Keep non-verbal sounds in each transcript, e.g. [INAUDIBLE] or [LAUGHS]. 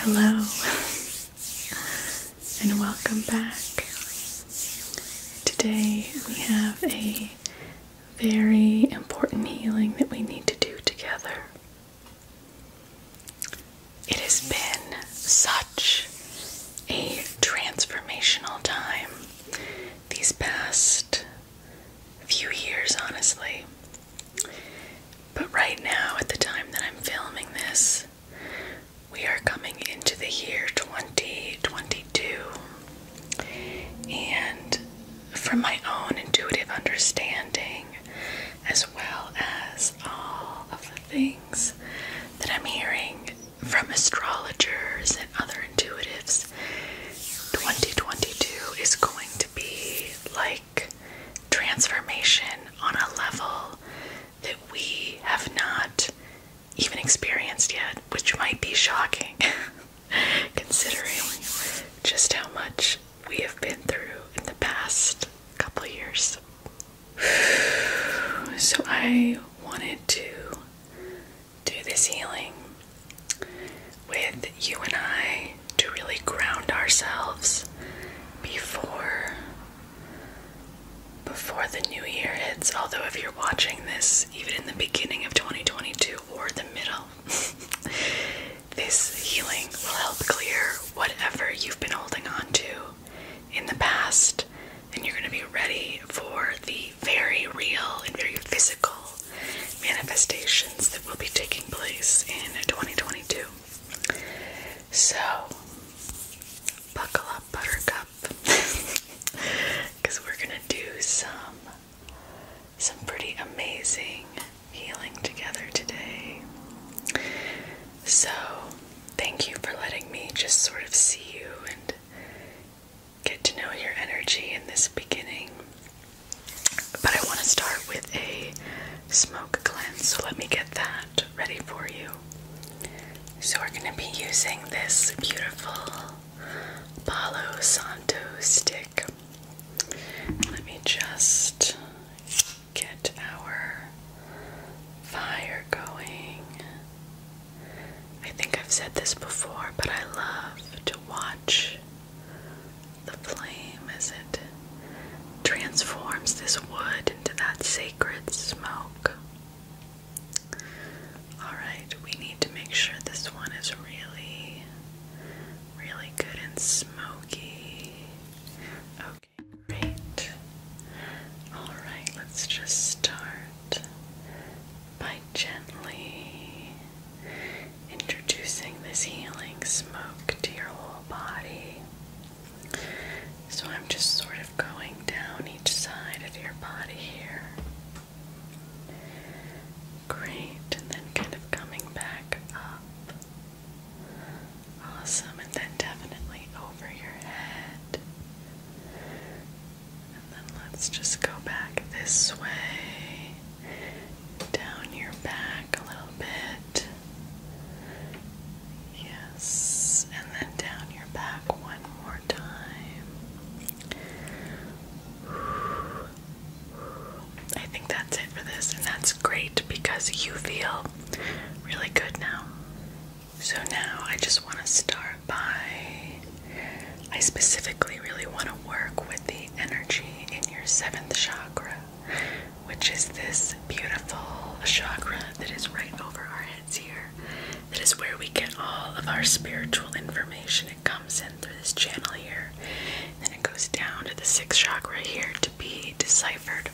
Hello and welcome back. Today we have a very important healing that we need to do together. It has been such a transformational time these past few years, honestly. But right now, at the time that I'm filming this, we are coming into the year 2022. And from my own intuitive understanding, as well as all of the things that I'm hearing from astrologers and other intuitives, 2022 is going to be like transformation on a level that we have not even experienced yet, which might be shocking [LAUGHS] considering just how much we have been through in the past couple years. [SIGHS] so I wanted to do this healing with you and I to really ground ourselves before before the new year hits. Although if you're watching this even in the beginning of 2022 or the middle, [LAUGHS] this healing will help clear whatever you've been holding on to in the past and you're going to be ready for the very real and very physical manifestations that will be taking place in 2022. So, buckle up, buttercup, because [LAUGHS] we're gonna do some some pretty amazing healing together today. So, thank you for letting me just sort of see you and get to know your energy in this beginning but I want to start with a smoke cleanse, so let me get that ready for you. So, we're going to be using this beautiful Palo Santo stick. Let me just get our fire going. I think I've said this before, but I love to watch the flame as it transforms this wood into that sacred smoke. Alright, we need to make sure this one is really, really good and smoky. Okay, great. Alright, let's just start by gently introducing this healing smoke to your whole body. So I'm just sort of going down each side of your body here. Great, and then kind of coming back up. Awesome, and then definitely over your head. And then let's just go back this way down your back a little bit. Yes, and then down your back one more time. I think that's it for this, and that's great because you feel really good now. So now I just want to start by I specifically really want to work with the energy in your seventh chakra which is this beautiful chakra that is right over our heads here. That is where we get all of our spiritual information. It comes in through this channel here, and it goes down to the sixth chakra here to be deciphered.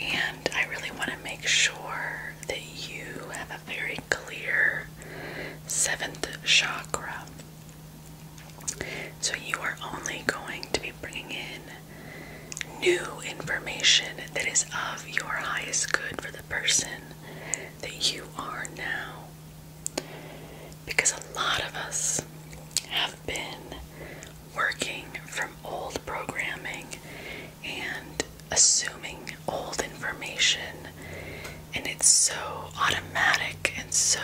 And I really want to make sure that you have a very clear seventh chakra. So you are only going to be bringing in new information that is of your highest good for the person that you are now. Because a lot of us have been working from old programming and assuming old information, and it's so automatic and so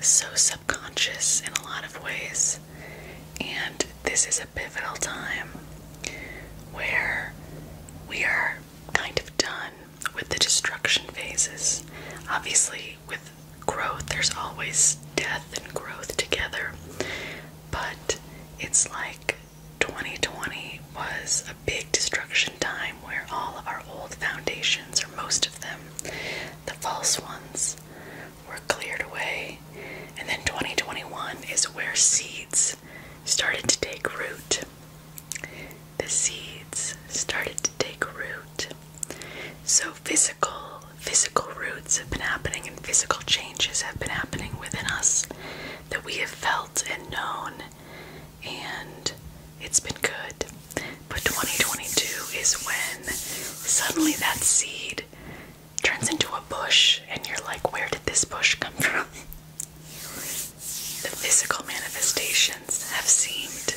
so subconscious in a lot of ways. And this is a pivotal time where we are kind of done with the destruction phases. Obviously, with growth, there's always death and growth together, but it's like 2020 was big destruction time where all of our old foundations, or most of them, the false ones, were cleared away. And then 2021 is where seeds started to take root. The seeds started to take root. So physical, physical roots have been happening and physical changes have been happening within us that we have felt and known and it's been good. But 2022 is when suddenly that seed turns into a bush, and you're like, where did this bush come from? The physical manifestations have seemed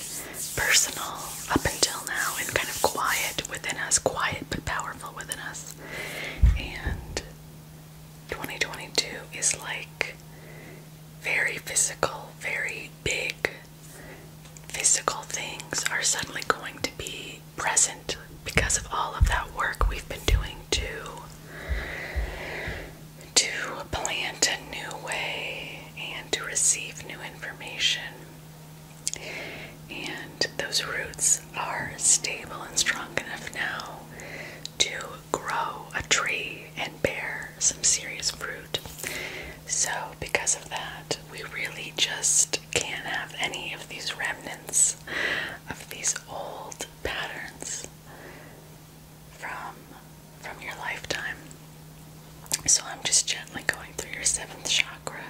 personal up until now and kind of quiet within us, quiet but powerful within us. And 2022 is like very physical, very big physical things are suddenly going to be present because of all of that work we've been doing to to plant a new way and to receive new information. And those roots are stable and strong enough now to grow a tree and bear some serious fruit. So, because of that, we really just can't have any of these remnants of these old patterns from from your lifetime. So I'm just gently going through your seventh chakra,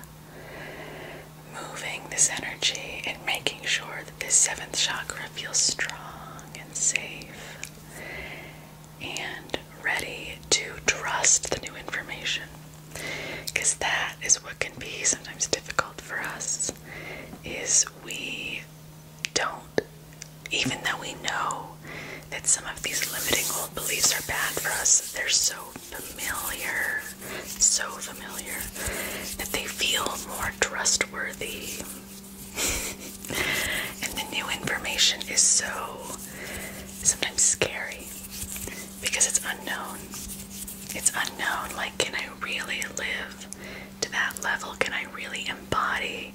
moving this energy and making sure that this seventh chakra feels strong and safe and ready to trust the new information. Because that is what can be sometimes difficult for us is we don't even though we know that some of these limiting old beliefs are bad for us, they're so familiar, so familiar that they feel more trustworthy and the new information is so sometimes scary because it's unknown. It's unknown. Like, can I really live to that level? Can I really embody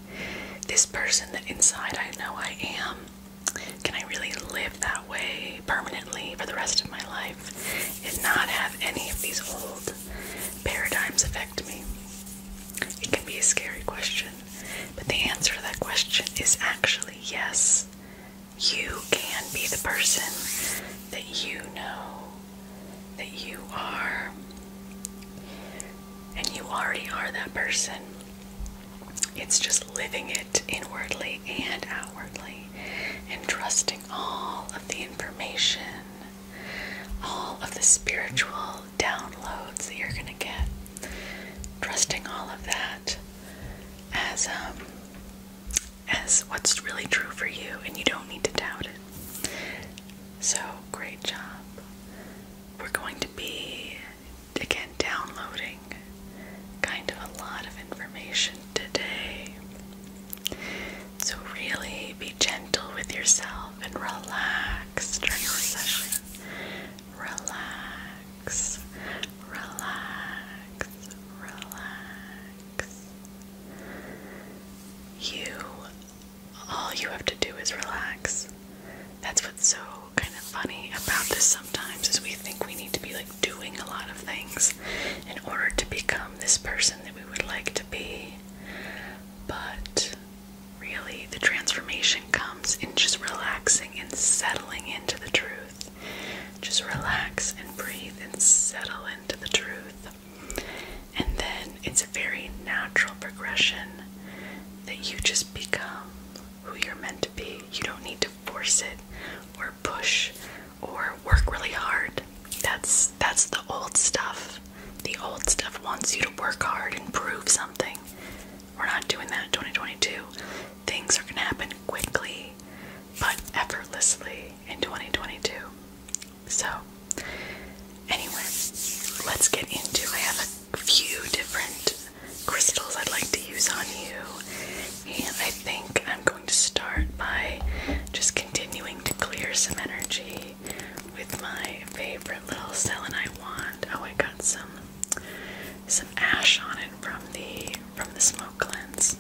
this person that inside I know I am? Can I really live that way permanently for the rest of my life and not have any of these old paradigms affect me? It can be a scary question. But the answer to that question is actually yes. You can be the person that you know that you are. And you already are that person. It's just living it inwardly and outwardly and trusting all of the information, all of the spiritual downloads that you're going to get. Trusting all of that as um, as what's really true for you and you don't need to doubt it. So, great job. We're going to be again downloading kind of a lot of information today. So, really be gentle with yourself and relax during your session relax, relax, relax. You, all you have to do is relax. That's what's so kind of funny about this sometimes is we think we need to be like doing a lot of things in order to become this person that we would like to be. But really the transformation comes in just relaxing and settling into the truth. Just relax and breathe and settle into the truth. And then it's a very natural progression that you just become who you're meant to be. You don't need to force it or push or work really hard. That's that's the old stuff. The old stuff wants you to work hard and prove something. We're not doing that in 2022. Things are going to happen quickly but effortlessly in 2022. So, anyway, let's get into I have a few different crystals I'd like to use on you. And I think I'm going to start by just continuing to clear some energy with my favorite little selenite wand. Oh, I got some some ash on it from the from the smoke cleanse.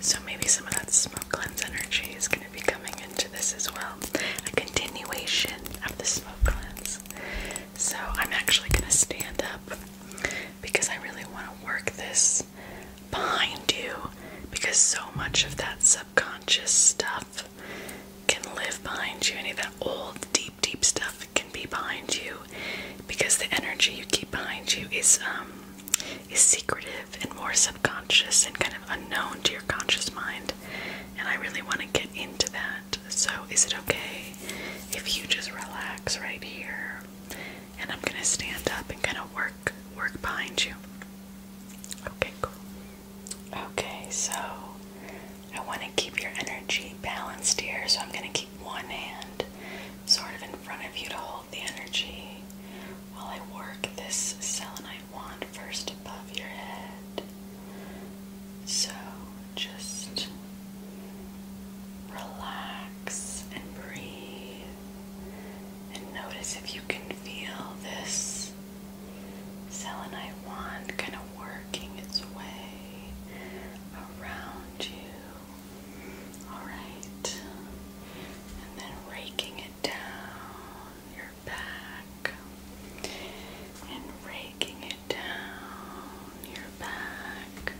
So maybe some of that smoke cleanse energy is going to be coming into this as well. A continuation of the smoke cleanse. So I'm actually going to stand up because I really want to work this behind you because so much of that subconscious stuff stuff can live behind you, any of that old, deep, deep stuff can be behind you because the energy you keep behind you is um is secretive and more subconscious and kind of unknown to your conscious mind. And I really want to get into that. So is it okay if you just relax right here and I'm gonna stand up and kind of work work behind you? Okay, cool. Okay, so I want to keep your energy balanced here, so I'm going to keep one hand sort of in front of you to hold the energy while I work this selenite wand first above your head. So just relax and breathe, and notice if you can feel this selenite wand kind of working its way around you. Alright. And then raking it down your back. And raking it down your back.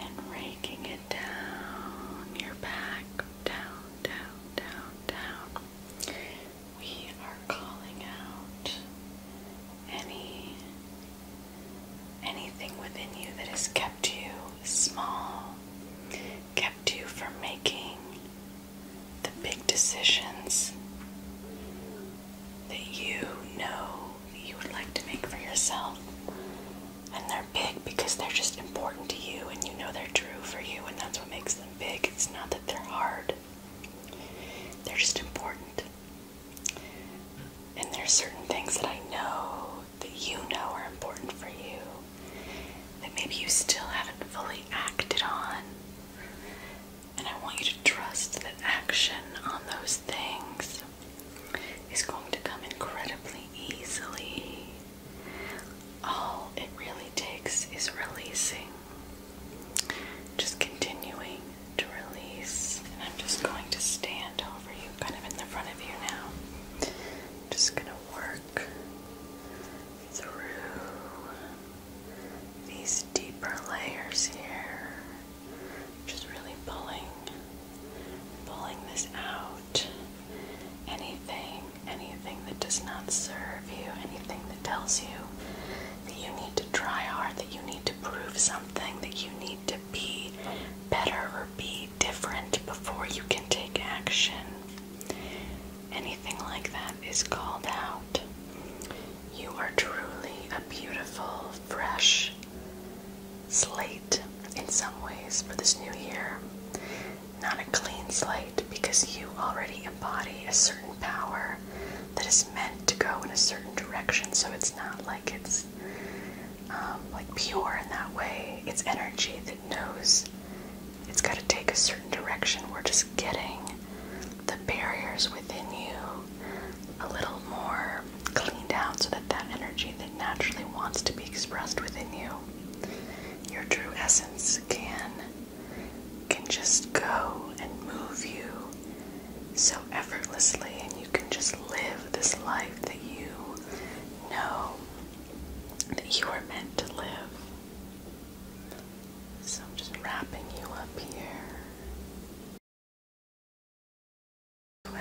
And raking it down your back. Down, down, down, down we are calling out any anything within you that has kept you small, kept you from making the big decisions that you know you would like to make for yourself. And they're big because they're just important to you and you know they're true for you and that's what makes them them big. It's not that they're hard, they're just important. And there's certain things that I know that you know are important for you that maybe you still haven't fully acted on. And I want you to trust that action on those things is going to come incredibly easily. All it really takes is releasing. Just continuing to release. And I'm just going to stand over you, kind of in the front of you now. Just going to work through these deeper layers here. Just really pulling, pulling this out. Anything anything that does not serve you, anything that tells you that you need to try hard, that you need to prove something, that you need to be better or be different before you can take action. Anything like that is called out. You are truly a beautiful, fresh slate in some ways for this new year not a clean slate, because you already embody a certain power that is meant to go in a certain direction. So it's not like it's um, like pure in that way. It's energy that knows it's got to take a certain direction. We're just getting the barriers within you a little more cleaned out so that that energy that naturally wants to be expressed within you, your true essence, can can just go and move you so effortlessly, and you can just live this life that you know that you are meant to live. So I'm just wrapping you up here. Great.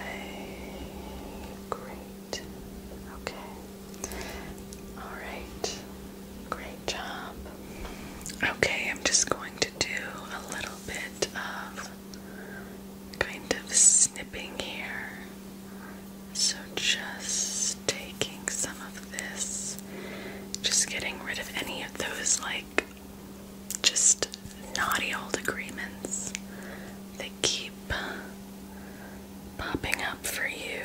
Okay. Alright, great job. Okay, I'm just going to do a little bit of kind of snipping here. So just taking some of this, just getting rid of any of those like just naughty old agreements that keep popping up for you.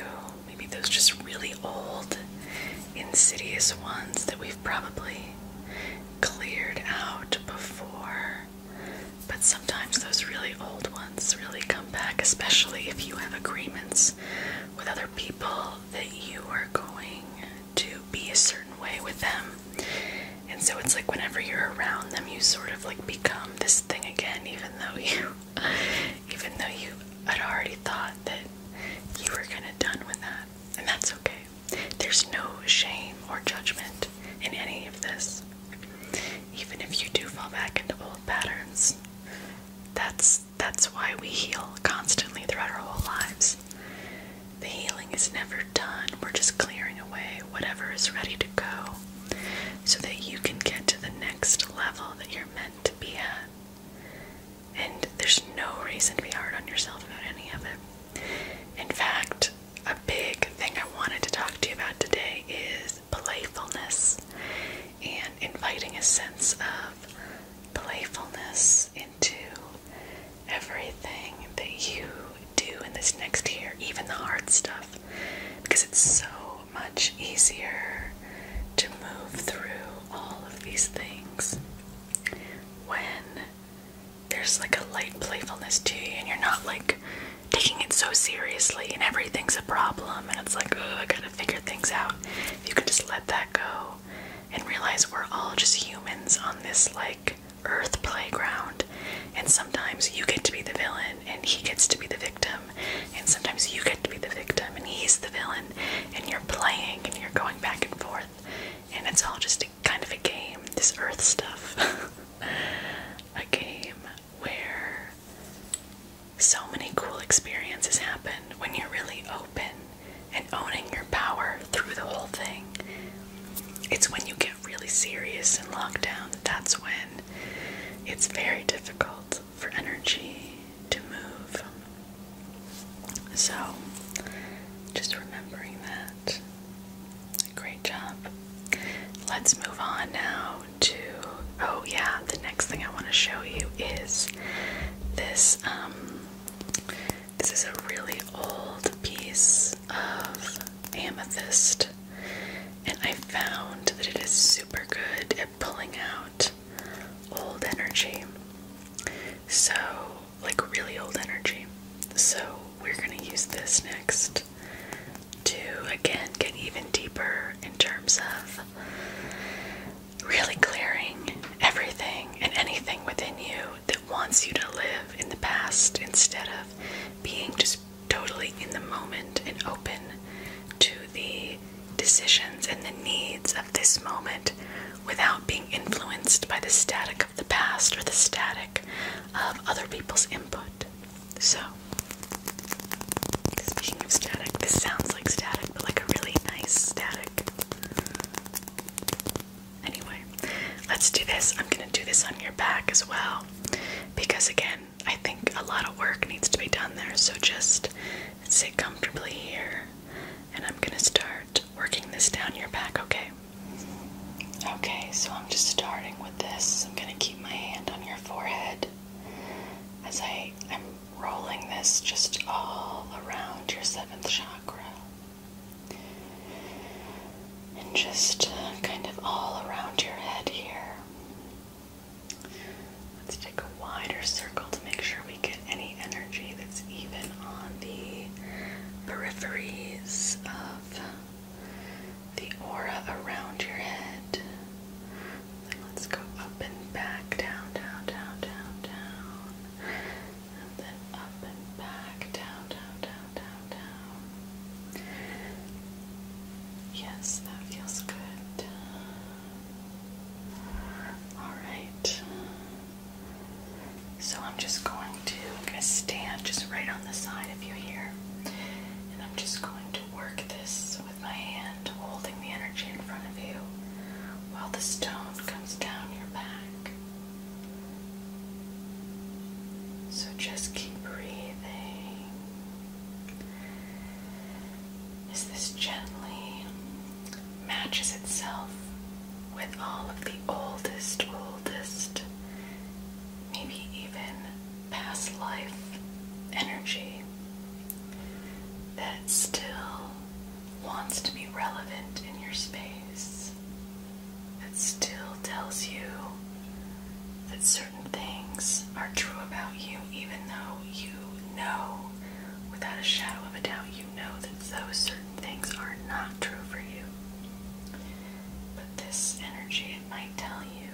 Maybe those just really old, insidious ones that we've probably cleared out before. But sometimes those really old ones really come back, especially if you have agreements with other people that you are going to be a certain way with them. And so it's like whenever you're around them, you sort of like become this thing again, even though you even though you had already thought that you were kind of done with that. And that's okay. There's no shame or judgment in any of this. Even if you do fall back into old patterns, that's that's why we heal constantly throughout our whole lives. The healing is never done. We're just clearing away whatever is ready to go so that you can get to the next level that you're meant to be at. And there's no reason to be hard on yourself about any of it. In fact, a big thing I wanted to talk to you about today is playfulness and inviting a sense of playfulness into everything that you do in this next year, even the hard stuff, because it's so much easier to move through all of these things when there's like a light playfulness to you and you're not like taking it so seriously and everything's a problem and it's like, oh, I gotta figure things out. you can just let that go and realize we're all just humans on this like earth playground and sometimes you get to be the villain and he gets to be the victim and sometimes you get to be the victim, and he's the villain, and you're playing and you're going back and forth, and it's all just kind of a game. This earth stuff. [LAUGHS] a game where so many cool experiences happen when you're really open and owning your power through the whole thing. It's when you get really serious and locked down that's when it's very difficult for energy to move. So, just remembering that. Great job. Let's move on now to. Oh, yeah, the next thing I want to show you is this. Um, this is a really old piece of amethyst, and I found that it is super good pulling out old energy. So, like really old energy. So, we're going to use this next to again get even deeper in terms of really clearing everything and anything within you that wants you to live in the past instead of being just totally in the moment and open to the decisions and the needs of this moment without being influenced by the static of the past or the static of other people's input. So, speaking of static, this sounds like static, but like a really nice static. Anyway, let's do this. I'm gonna do this on your back as well because, again, I think a lot of work needs to be done there, so just sit comfortably here and I'm gonna start working this down your back, okay? Okay, so I'm just starting with this. I'm gonna keep my hand on your forehead as I'm rolling this just all around your seventh chakra. And just kind of all around your head here. Let's take a wider circle to make sure we get any energy that's even on the peripheries of the aura around your head. And let's go up and back, down, down, down, down, down. And then up and back, down, down, down, down, down. Yes, that feels good. Alright. So I'm just going to I'm gonna stand just right on the side of you here. And I'm just going to work this with my hand, holding the energy in front of you while the stone comes down your back. So just keep breathing. Is this gently matches itself with all of the oldest, oldest, maybe even past life energy that still wants to be relevant in your space, that still tells you that certain things are true about you, even though you know without a shadow of a doubt, you know that those certain things are not true for you. But this energy, it might tell you,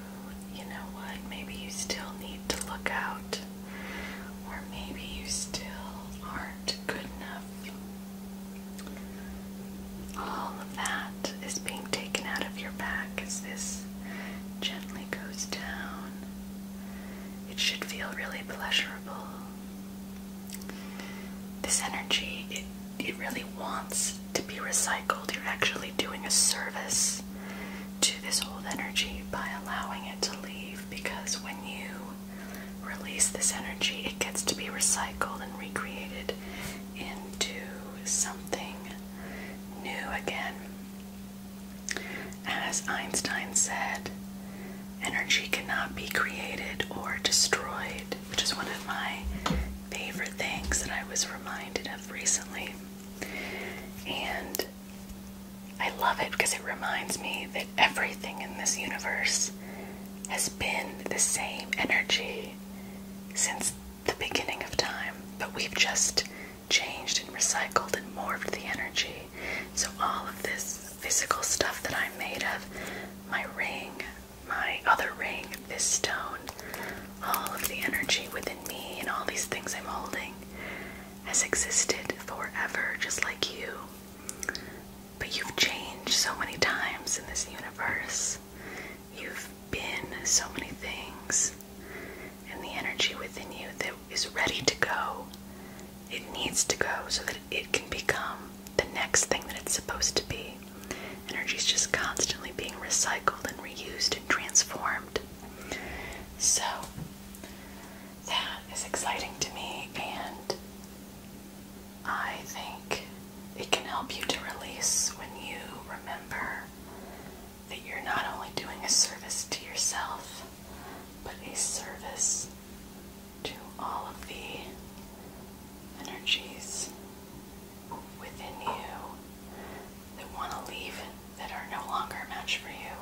you know what, maybe you still need to look out, or maybe you still aren't good enough. All of that is being taken out of your back Is this gently goes down. It should feel really pleasurable. This energy, it, it really wants to be recycled. You're actually doing a service to this old energy by allowing it to leave because when you release this energy, it gets to be recycled and recreated into something new again. As Einstein said, energy cannot be created or destroyed, which is one of my favorite things that I was reminded of recently. And I love it because it reminds me that everything in this universe has been the same energy since the beginning of time, but we've just changed and recycled and morphed the energy. So, all of this physical stuff that I'm made of my ring, my other ring, this stone all of the energy within me and all these things I'm holding has existed forever, just like you. But you've changed so many times in this universe. You've been so many things, and the energy within you that is ready to go, it needs to go so that it can become the next thing that it's supposed to be. Energy is just constantly being recycled and reused and transformed. So, that is exciting to me, and I think it can help you to release when you remember that you're not only doing a service to yourself, but a service to all of the energies within you that want to leave, that are no longer a match for you.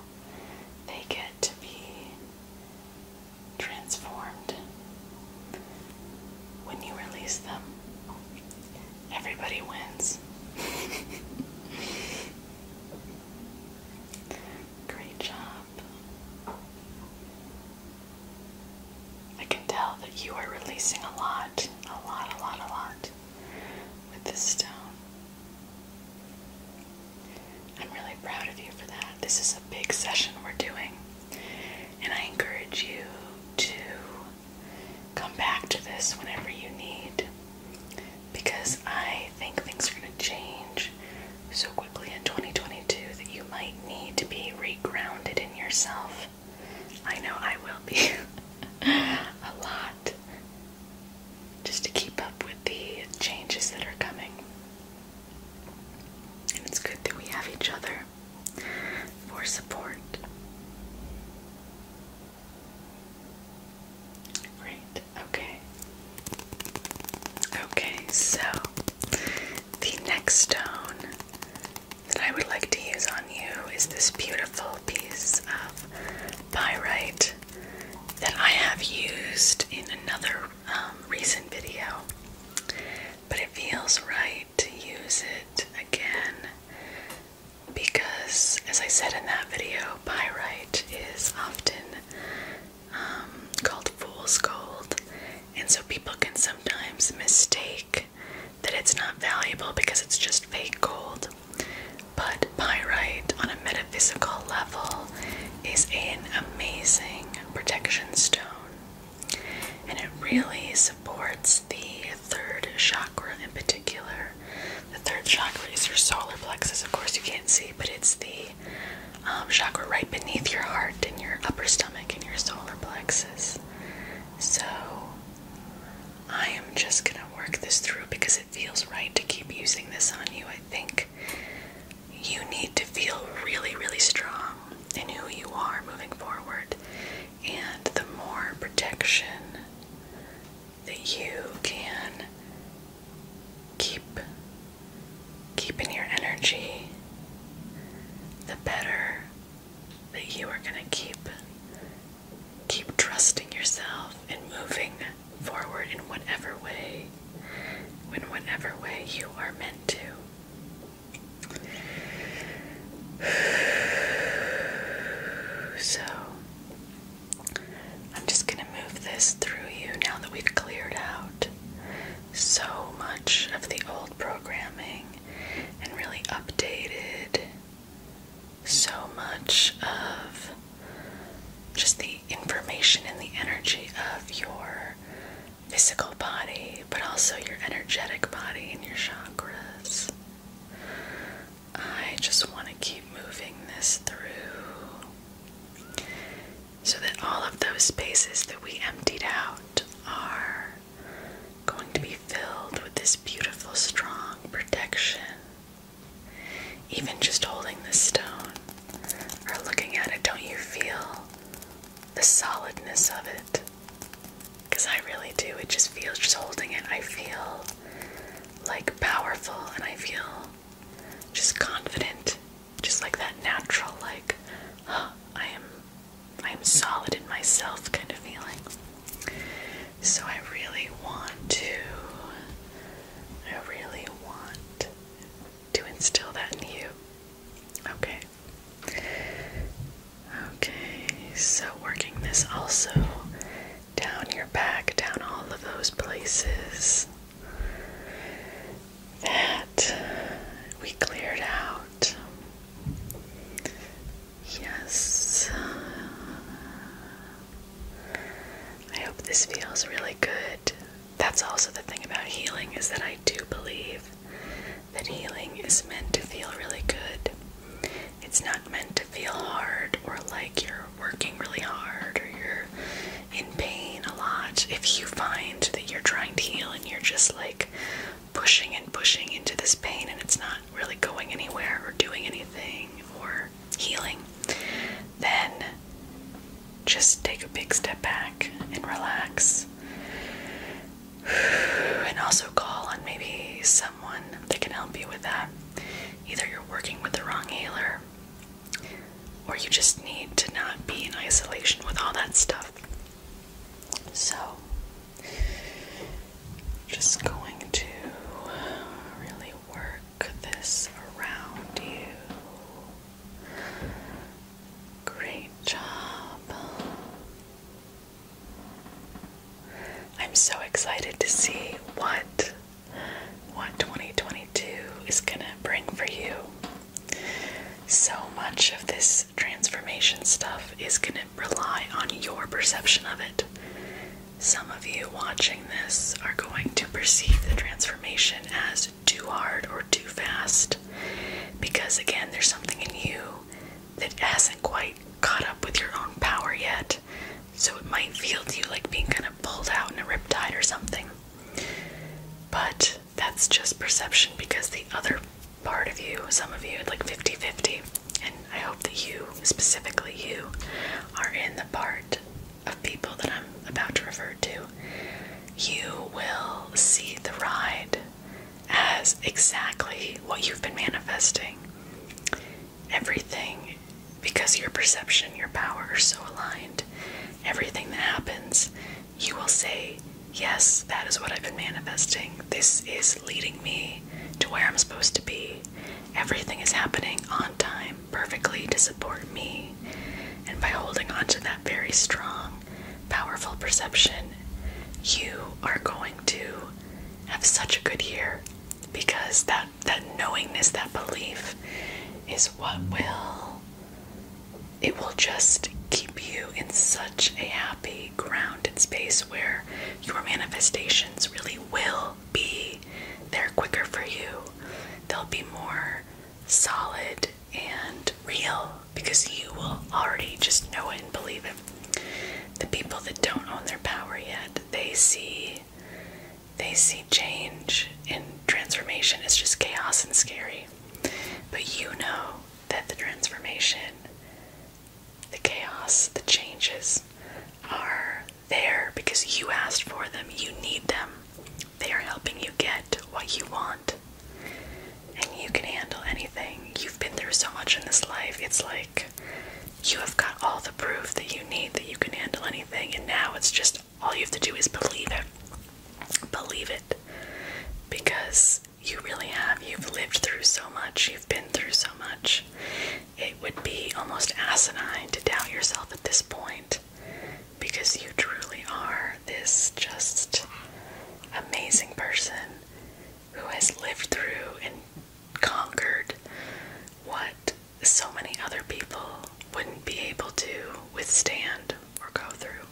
They get to be transformed when you release them. Everybody wins. Great job. I can tell that you are releasing a lot, a lot, a lot, a lot with this stone. I'm really proud of you for that. This is a big session we're doing, and I encourage you to come back to this whenever you need because I think things are going to change so quickly in 2022 that you might need to be regrounded in yourself. I know I will be [LAUGHS] a lot just to keep up with the changes that are coming. And it's good that we have each other for support. Great, okay. Okay, so the next stone that I would like to use on you is this beautiful piece of pyrite that I have used in another um, recent video, but it feels right to use it again because, as I said in that video, pyrite is often um, called fool's gold, and so people can sometimes mistake that it's not valuable because it's just fake gold. But pyrite, on a metaphysical level, is an amazing protection stone, and it really supports the third chakra in particular. The third chakra is your solar plexus. Of course, you can't see, but it's the um, chakra right beneath your heart and your upper stomach and your solar plexus. So, I am just gonna work this through because it feels right to keep using this on you. I think you need to feel really, really strong in who you are moving forward and the more protection that you can keep keeping your energy, the better that you are going to keep keep trusting yourself and moving forward in whatever way in whatever way you are meant to. [SIGHS] So I'm just going to move this through you now that we've cleared out so much of the old programming and really updated so much of just the information and the energy of your physical body, but also your energetic body and your chakras. I just want to keep moving this through so that all of those spaces that we emptied out are going to be filled with this beautiful, strong protection. Even just holding the stone or looking at it, don't you feel the solidness of it? Because I really do. It just feels, just holding it, I feel like powerful and I feel just confident. Just like that natural, like, [GASPS] I am, I am solid in myself kind of feeling. So I really want to, I really want to instill that in you. Okay. Okay, so working this also down your back, down all of those places that we cleared out. Yes. I hope this feels really good. That's also the thing about healing is that I do believe that healing is meant to feel really good. It's not meant to feel hard or like you're working really hard or you're in pain a lot. If you find that you're trying to heal and you're just like pushing and pushing into this pain and it's not really going anywhere or doing anything or healing, then just take a big step back and relax. [SIGHS] And also call on maybe someone they can help you with that. Either you're working with the wrong healer, or you just need to not be in isolation with all that stuff. So, just going to really work this around you. Great job. I'm so excited to see what what 2022 is going to bring for you. So much of this transformation stuff is going to rely on your perception of it. Some of you watching this are going to perceive the transformation as too hard or too fast because, again, there's something in you that hasn't quite caught up with your own power yet, so it might feel to you like being kind of pulled out in a riptide or something. But that's just perception because the other part of you, some of you, like 50 50, and I hope that you, specifically you, are in the part of people that I'm about to refer to. You will see the ride as exactly what you've been manifesting. Everything, because your perception, your power are so aligned, everything that happens, you will say, Yes, that is what I've been manifesting. This is leading me to where I'm supposed to be. Everything is happening on time, perfectly to support me. And by holding on to that very strong, powerful perception, you are going to have such a good year because that that knowingness, that belief is what will it will just keep you in such a happy grounded space where your manifestations really will be They're quicker for you. They'll be more solid and real because you will already just know it and believe it the people that don't own their power yet, they see they see change and transformation as just chaos and scary. But you know that the transformation, the chaos, the changes are there because you asked for them. You need them. They are helping you get what you want. And you can handle anything. You've been through so much in this life. It's like you have got all the proof that you need that you can handle anything, and now it's just all you have to do is believe it. Believe it. Because you really have. You've lived through so much, you've been through so much. It would be almost asinine to doubt yourself at this point because you truly are this just amazing person who has lived through and conquered what so many other people wouldn't be able to withstand or go through.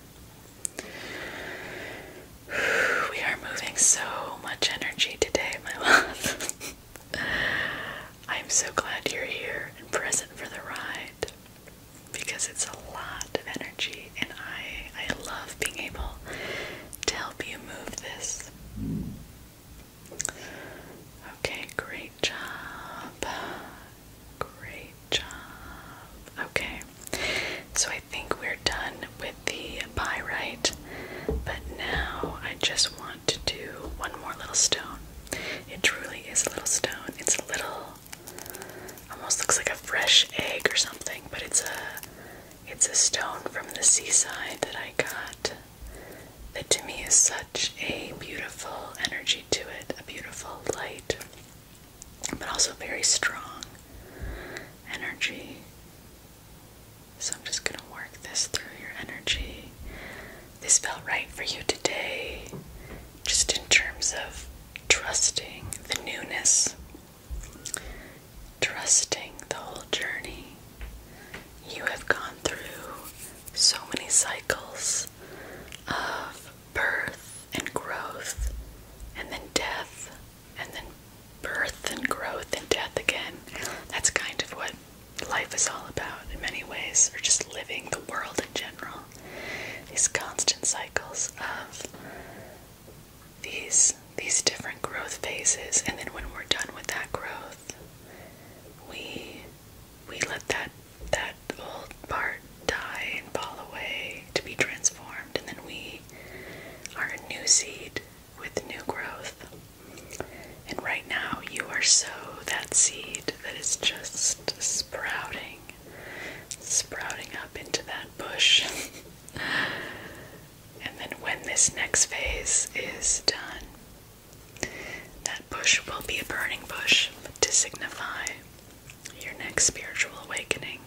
[SIGHS] We are moving so much energy today, my [LAUGHS] love. I'm so glad you're here and present for the ride because it's a lot of energy and I I love being able to help you move this Okay, great job. Great job. Okay, so I think we're done with the pyrite, but now I just want to do one more little stone. It truly is a little stone. It's a little, almost looks like a fresh egg or something, but it's a it's a stone from the seaside that I got that to me is such a beautiful energy to it, a beautiful light, but also very strong energy. So I'm just going to work this through your energy. This felt right for you today, just in terms of trusting the newness Trusting the whole journey. You have gone through so many cycles of birth and growth, and then death, and then birth and growth and death again. That's kind of what life is all about in many ways, or just living the world in general. These constant cycles of these these different growth phases and then when we're done with that growth we we let that that old part die and fall away to be transformed and then we are a new seed with new growth and right now you are so that seed that is just sprouting sprouting up into that bush [LAUGHS] And then when this next phase is done, that bush will be a burning bush to signify your next spiritual awakening.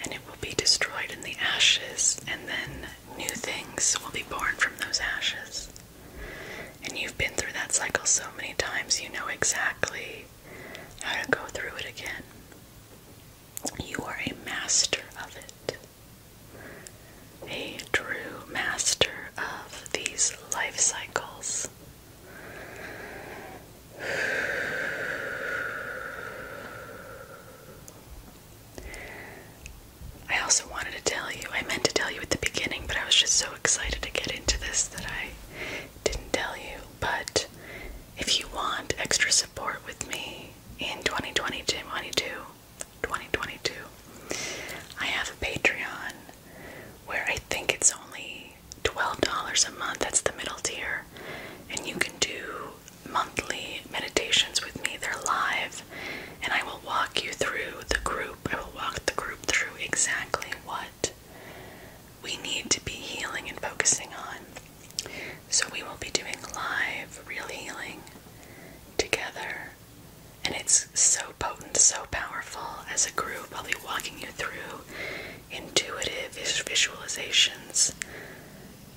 And it will be destroyed in the ashes, and then new things will be born from those ashes. And you've been through that cycle so many times, you know exactly how to go through it again. You are a master of it, a true master of these life cycles. I also wanted to tell you, I meant to tell you at the beginning, but I was just so excited to get into this that I didn't tell you. But if you want extra support with me, in 2020, 2022, 2022, I have a Patreon where I think it's only $12 a month. That's the middle tier. And you can do monthly meditations with me. They're live. And I will walk you through the group. I will walk the group through exactly what we need to be healing and focusing on. So we will be doing live real healing together. And it's so potent, so powerful as a group. I'll be walking you through intuitive visualizations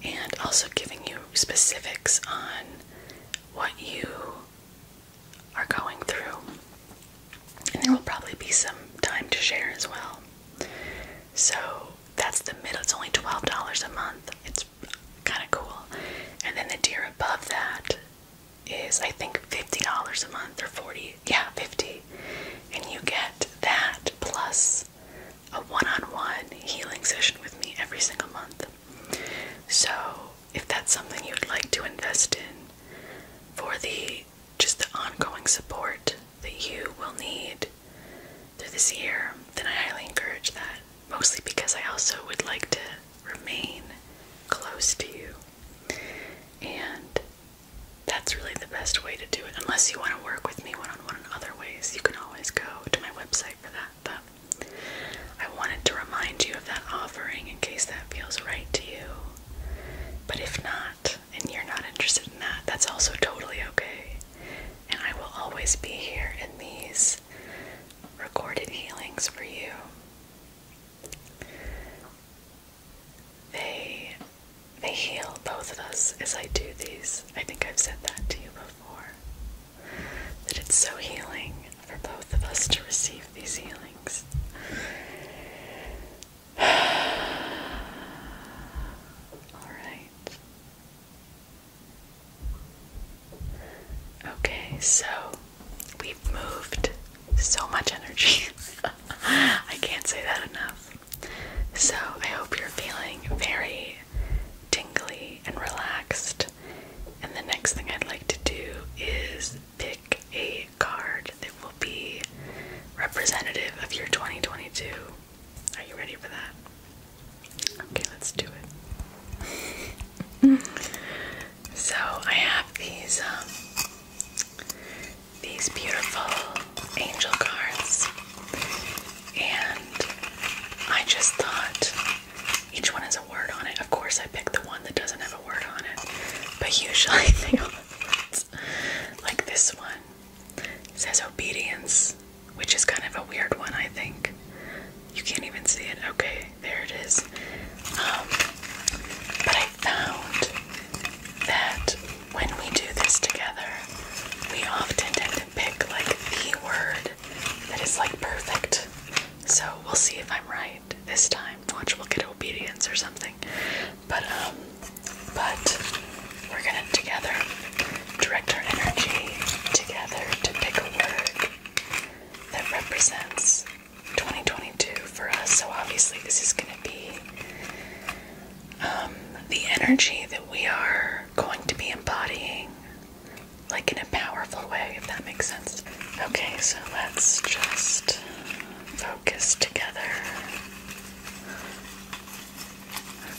and also giving you specifics on what you are going through. And there will probably be some time to share as well. So that's the middle. It's only twelve dollars a month. It's kind of cool. And then the tier above that is I think fifty dollars a month or forty. Yeah, fifty. And you get that plus a one-on-one -on -one healing session with me every single month. So if that's something you'd like to invest in for the just the ongoing support that you will need through this year, then I highly encourage that. Mostly because I also would like to remain close to you. And that's really the best way to do it. Unless you want to work with me one on one in other ways, you can always go to my website for that. But I wanted to remind you of that offering in case that feels right to you. But if not, and you're not interested in that, that's also totally okay and I will always be here in these recorded healings for you. They they heal both of us as I do these. I think I've said that to you before. That it's so healing for both of us to receive these healings. [SIGHS] All right. Okay, so we've moved so much energy. [LAUGHS] I can't say that enough. So I hope you're feeling very tingly and relaxed. And the next thing I'd like to do is pick a card that will be representative of your 2022 are you ready for that? Okay, let's do it. [LAUGHS] so I have these um, these beautiful angel cards and I just thought each one has a word on it. Of course I picked the one that doesn't have a word on it. But usually [LAUGHS] they all like this one says obedience, which is kind of a weird one, I think. You can't even see it. Okay, there it is. Um, but I found that when we do this together, we often tend to pick like the word that is like perfect. So we'll see if I'm right this time. Watch, we'll get obedience or something. But um, but we're gonna together direct our energy together to pick a work that represents 2022 for us. So obviously, this is gonna be um, the energy that we are going to be embodying, like in a powerful way, if that makes sense. Okay, so let's just focus together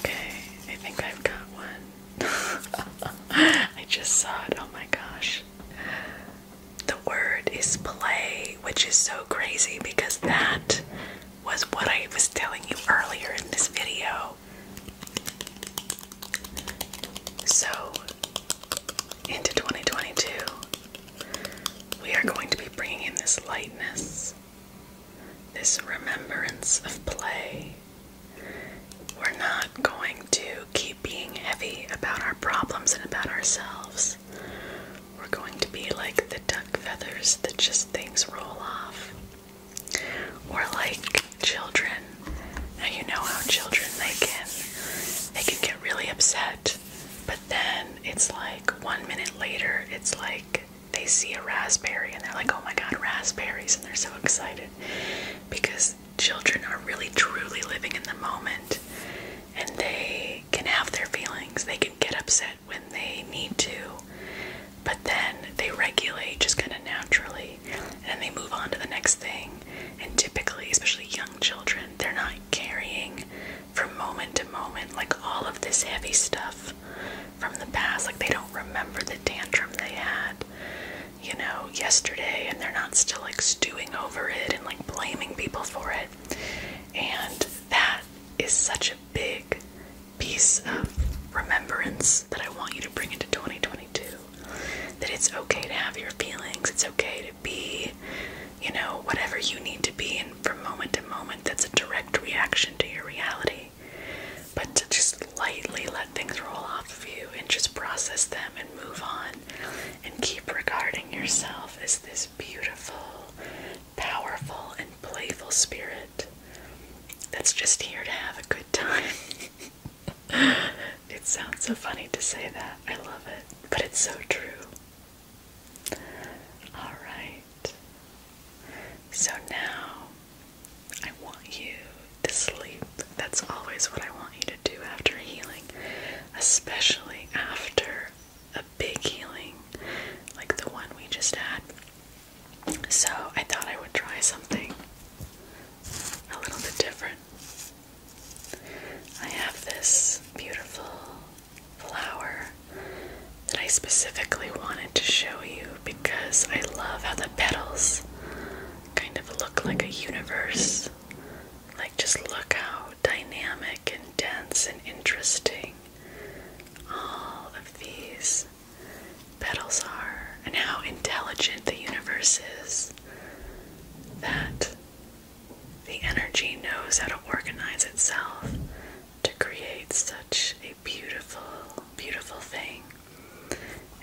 Okay, I think I've got one. [LAUGHS] I just saw it. Oh my gosh. The word is play, which is so crazy because that was what I was telling you earlier in this video. So, into 2022, we are going to be bringing in this lightness this remembrance of play. We're not going to keep being heavy about our problems and about ourselves. We're going to be like the duck feathers that just things roll off. Or like children. Now you know how children they can they can get really upset, but then it's like one minute later it's like they see a raspberry and they're like, oh my god, raspberries, and they're so excited because children are really truly living in the moment and they can have their feelings, they can get upset when they need to, but then they regulate just kind of naturally and they move on to the next thing. And typically, especially young children, they're not carrying from moment to moment like all of this heavy stuff from the past. Like they don't remember the tantrum they had, you know, yesterday, and they're not still like stewing over it and like blaming people for it. And that is such a big piece of remembrance that I want you to bring into 2022. That it's okay to have your feelings, it's okay to be, you know, whatever you need to be, and from moment to moment, that's a direct reaction to your reality but to just lightly let things roll off of you and just process them and move on and keep regarding yourself as this beautiful, powerful, and playful spirit that's just here to have a good time. [LAUGHS] it sounds so funny to say that. I love it, but it's so true. All right. So now I want you to sleep. That's always what I want you to do after healing, especially after a big healing like the one we just had. So I thought I would try something a little bit different. I have this beautiful flower that I specifically wanted to show you because I love how the petals kind of look like a universe. Like, just look how dynamic and dense and interesting all of these petals are, and how intelligent the universe is. That the energy knows how to organize itself to create such a beautiful, beautiful thing,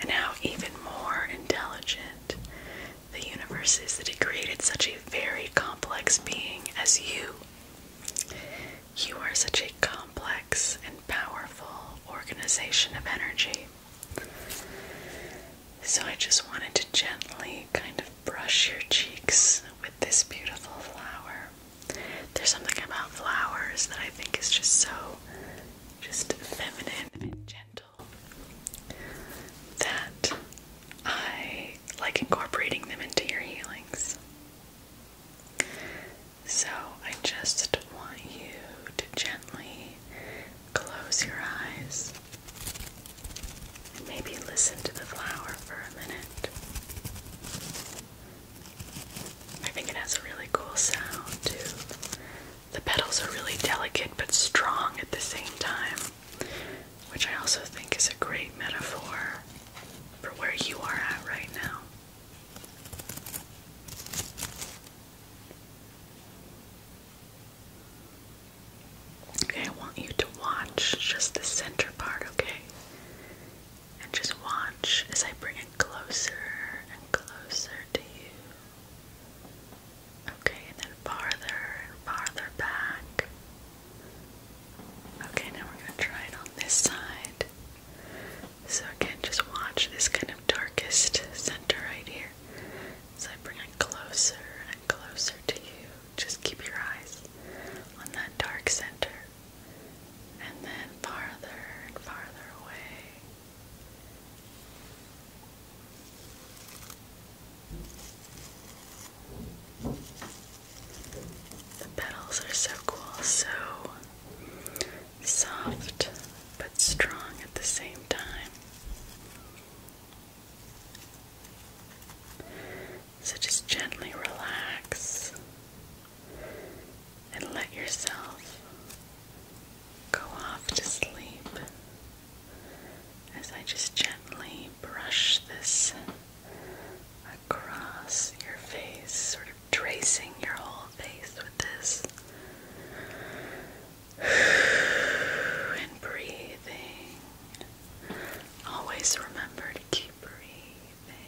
and how even more intelligent the universe is that it created such a very complex being as you. You are such a complex and powerful organization of energy. So, I just wanted to gently kind of brush your cheeks with this beautiful flower. There's something about flowers that I think is just so just feminine and gentle that I like incorporating them into your healings. So I just want you to gently close your eyes and maybe listen to the flower for a minute. I think it has a really cool sound too. The petals are really delicate but strong at the same time, which I also think is a great metaphor for where you are at right now. Okay, I want you to watch just the center part, okay? And just watch as I bring it closer and closer to you. Okay, and then farther and farther back. Okay, now we're going to try it on this side. So, again, just watch this kind of darkest center right here. As I bring it closer and closer to you, just keep your eyes on that dark center and then farther and farther away. The petals are so cool, so soft but strong at the same time. So just gently relax and let yourself go off to sleep as I just gently brush this across your face, sort of tracing your whole face with this. [SIGHS] And breathing. Always remember to keep breathing.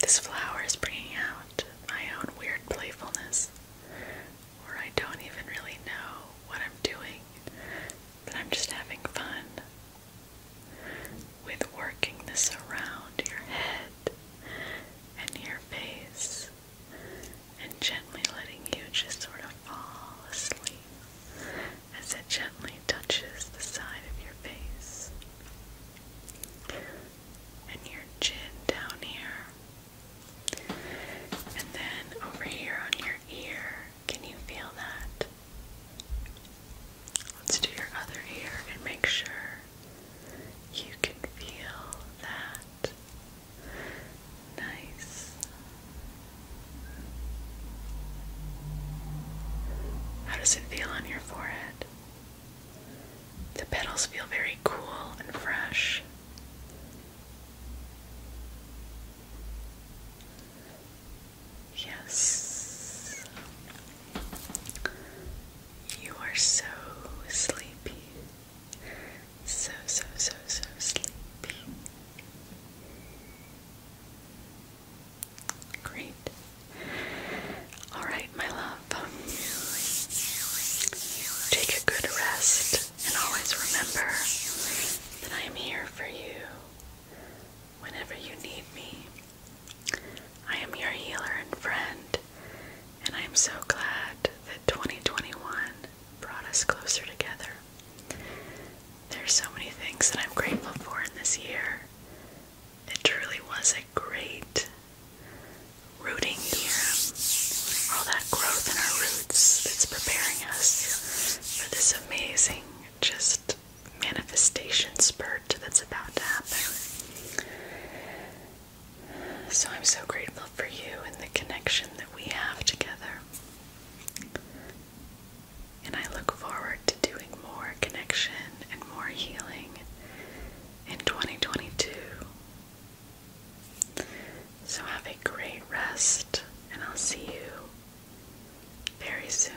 this flower is bringing out my own weird playfulness where I don't even really know what I'm doing, but I'm just having fun with working this around your head and your face and gently letting you just sort of fall asleep as it gently touches the side of your face and your chin down here. And then over here on your ear, can you feel that? Let's do your other ear and make sure you can feel that nice how does it feel on your forehead? The petals feel very cool and fresh. Yes, you are so sleepy. So, so, so, so sleepy. Great. Alright, my love. Take a good rest and always remember that I am here for you whenever you need me. I am your healer and friend, and I am so glad 2021 brought us closer together. There's so many things that I'm grateful for in this year. It truly was a great rooting year. All that growth in our roots that's preparing us for this amazing just manifestation spurt that's about to happen. So I'm so grateful for you and the connection that we have together. And I look forward to doing more connection and more healing in 2022. So have a great rest, and I'll see you very soon.